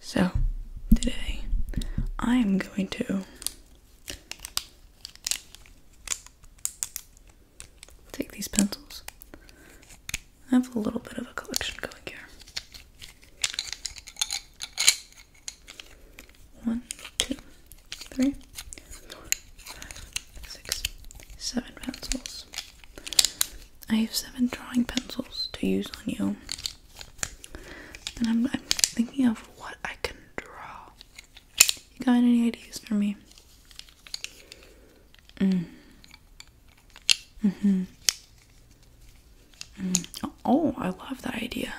so, today I am going to take these pencils. I have a little bit of a collection going here. One, two, three, four, five, six, seven pencils. I have seven drawing pencils to use on you. And I'm, thinking of what I can draw. You got any ideas for me? Mm. Mm-hmm. Mm. Oh, I love that idea.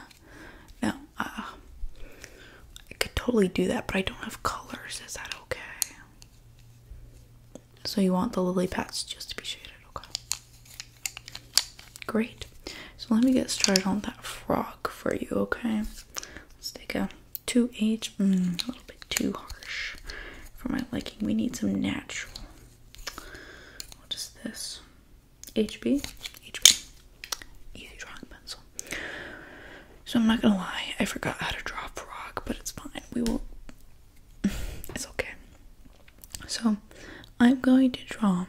Now, uh, I could totally do that, but I don't have colors. Is that okay? So you want the lily pads just to be shaded, okay? Great. So let me get started on that frog for you, okay? Let's take a 2H. Mm, a little bit too harsh for my liking. We need some natural. What is this? HB? HB easy drawing pencil. So I'm not gonna lie, I forgot how to draw a frog, but it's fine. We will. it's okay. So I'm going to draw. I'm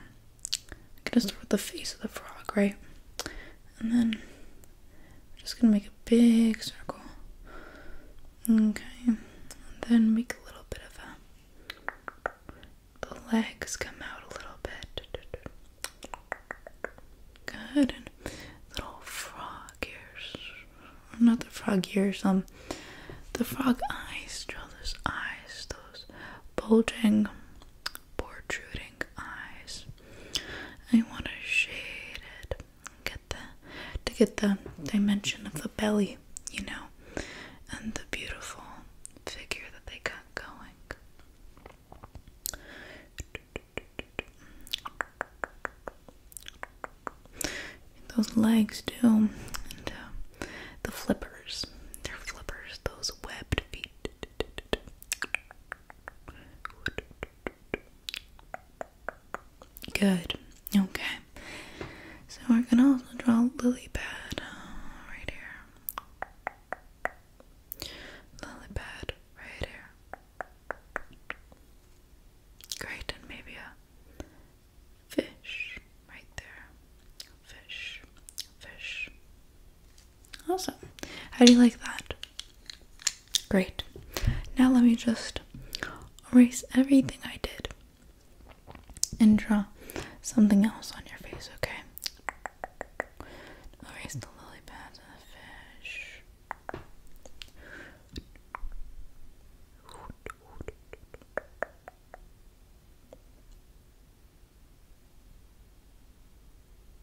gonna start with the face of the frog, right? And then just gonna make a big circle. Okay. And then make a little bit of a. The legs come out a little bit. Good. And little frog ears. Not the frog ears, um, the frog eyes. Draw those eyes, those bulging, protruding eyes. I want to shade it. Get the to get the dimension of the belly, you know, and the beautiful figure that they got going. Those legs too, and uh, the flippers. They're flippers. Those webbed feet. Good. Okay. So we're gonna also draw a lily pad uh, right here lily pad right here. Great, and maybe a fish right there. Fish, fish. Awesome. How do you like that? Great. Now let me just erase everything I did and draw something else on your face, okay? Erase the lily pads and the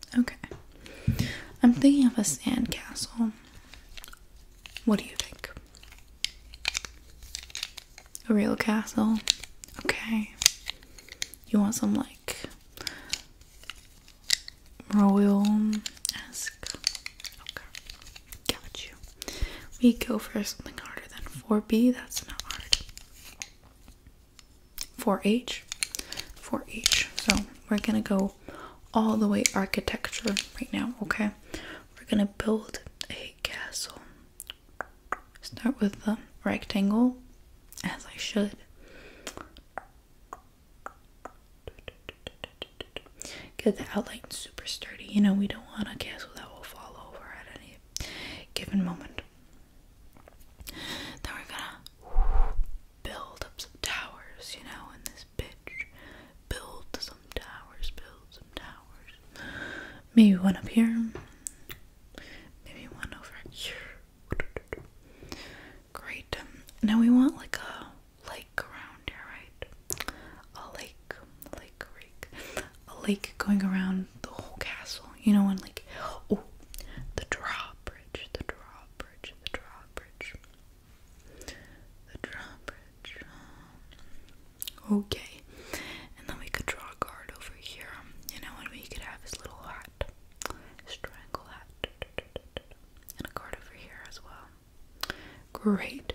fish. Okay. I'm thinking of a sandcastle. What do you think? A real castle? Okay. You want some like royal esque. got you. We go for something harder than 4B, that's not hard. 4H, 4H. So we're gonna go all the way architecture right now, okay? We're gonna build a castle. Start with the rectangle, as I should. Get the outline super sturdy. You know, we don't want a castle that will fall over at any given moment. Then we're gonna build up some towers, you know, in this bitch. Build some towers, build some towers. Maybe one up here. Maybe one over here. Great. Um, now we want like a lake around here, right? A lake, lake, lake, a lake going around the whole castle. You know, and like, oh, the drawbridge, the drawbridge, the drawbridge, the drawbridge. Okay, and then we could draw a guard over here. You know, and we could have his little strangle hat, and a card over here as well. Great.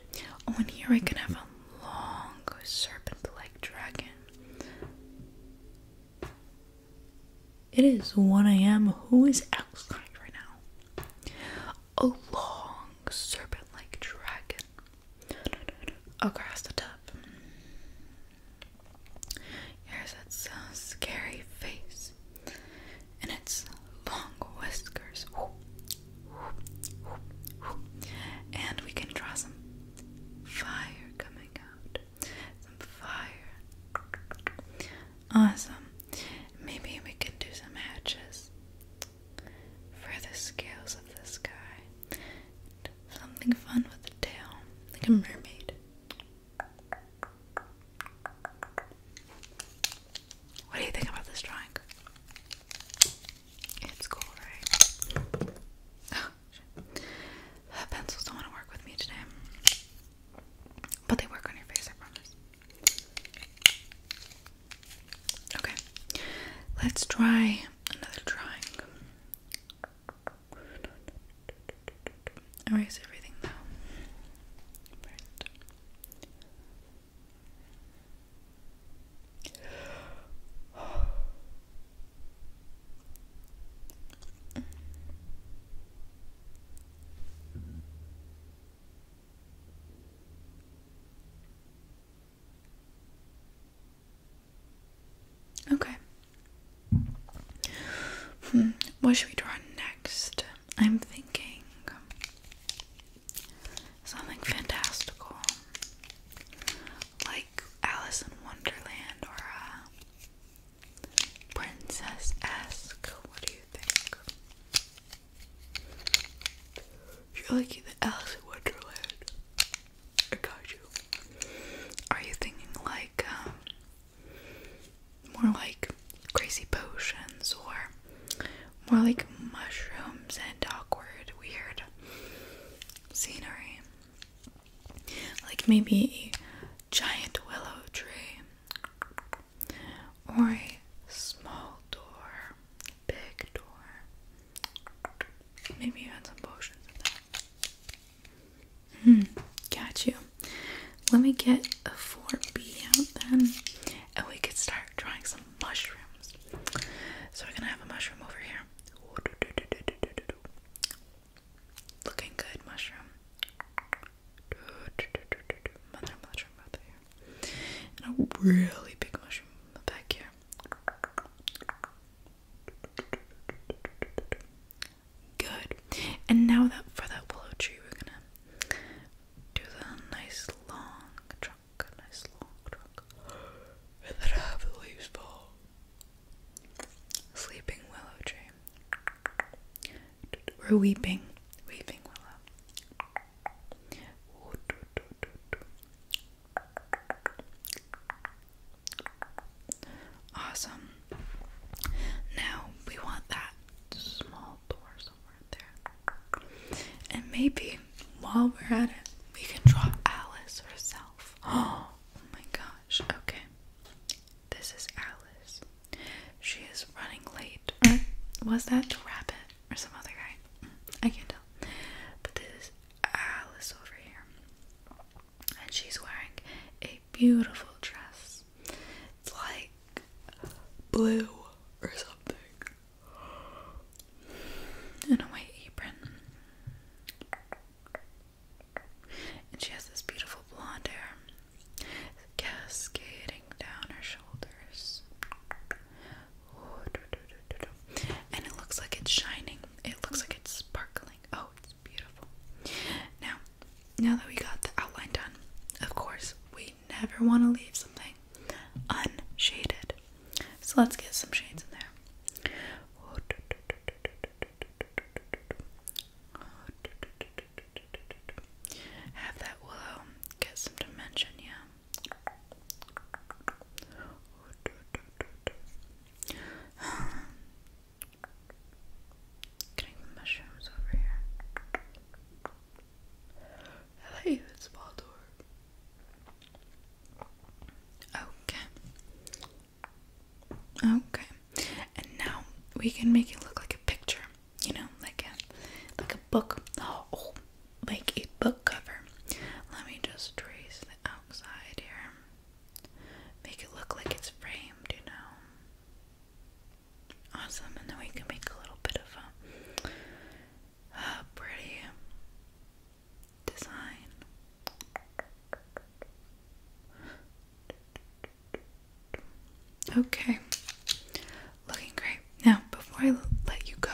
Oh, and here I can have a long serpent-like dragon. It is 1 a.m. Who is outside right now? A long serpent like dragon. Across the top. Here's its uh, scary face and its long whiskers. And we can draw some fire coming out. Some fire. Awesome. Maybe we can do some hatches for the scales of this guy. Something fun with a tail, like a mermaid. What do you think about this drawing? It's cool, right? Oh, pencils don't want to work with me today. But they work on your face, I promise. Okay, let's try another drawing. Erase everything now. Right. Okay. Hmm, what should we draw next? I'm thinking something fantastical, like Alice in Wonderland or a uh, Princess esque. What do you think? You're like the Alice in Wonderland. I got you. Are you thinking like um, more like crazy potions or more like mushrooms and awkward, weird scenery? Like maybe a giant willow tree or a small door, big door. Maybe you had some potions in that. Hmm, got you. Let me get a 4B out then, and we could start drawing some mushrooms. So we're gonna have a mushroom over here. Looking good, mushroom. Mother mushroom out there. And a really big mushroom back here. Good. And now that for that willow tree, we're gonna do the nice long trunk, nice long trunk, and then have the leaves fall. Sleeping willow tree. We're weeping, weeping willow. Awesome. Now we want that small door somewhere there. And maybe while we're at it, we can draw Alice herself. Oh my gosh. Okay. This is Alice. She is running late. was that Rabbit or some other guy? I can't tell. But this is Alice over here, and she's wearing a beautiful dress. It's like blue or something. And a white apron. And she has this beautiful blonde hair cascading down her shoulders. And it looks like it's shining. It looks like it's sparkling. Oh, it's beautiful. Now, now that we got the outline done, of course, we never want to leave something unshaded. So let's get some shades in there. Have that willow get some dimension, yeah. Getting the mushrooms over here. I like even Okay. Okay. And now we can make it look like a picture, you know, like a like a book. Oh, like a book cover. Let me just trace outside here. Make it look like it's framed, you know. Awesome, and then we can make a little bit of a, pretty design. Okay, looking great. Now, before I let you go,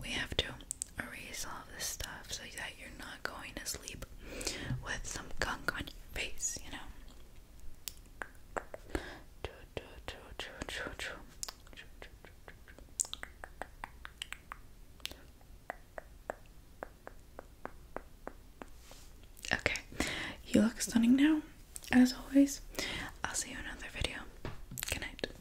we have to erase all of this stuff so that you're not going to sleep with some gunk on your face, you know. Okay, you look stunning now, as always. I'll see you in another video. Good night.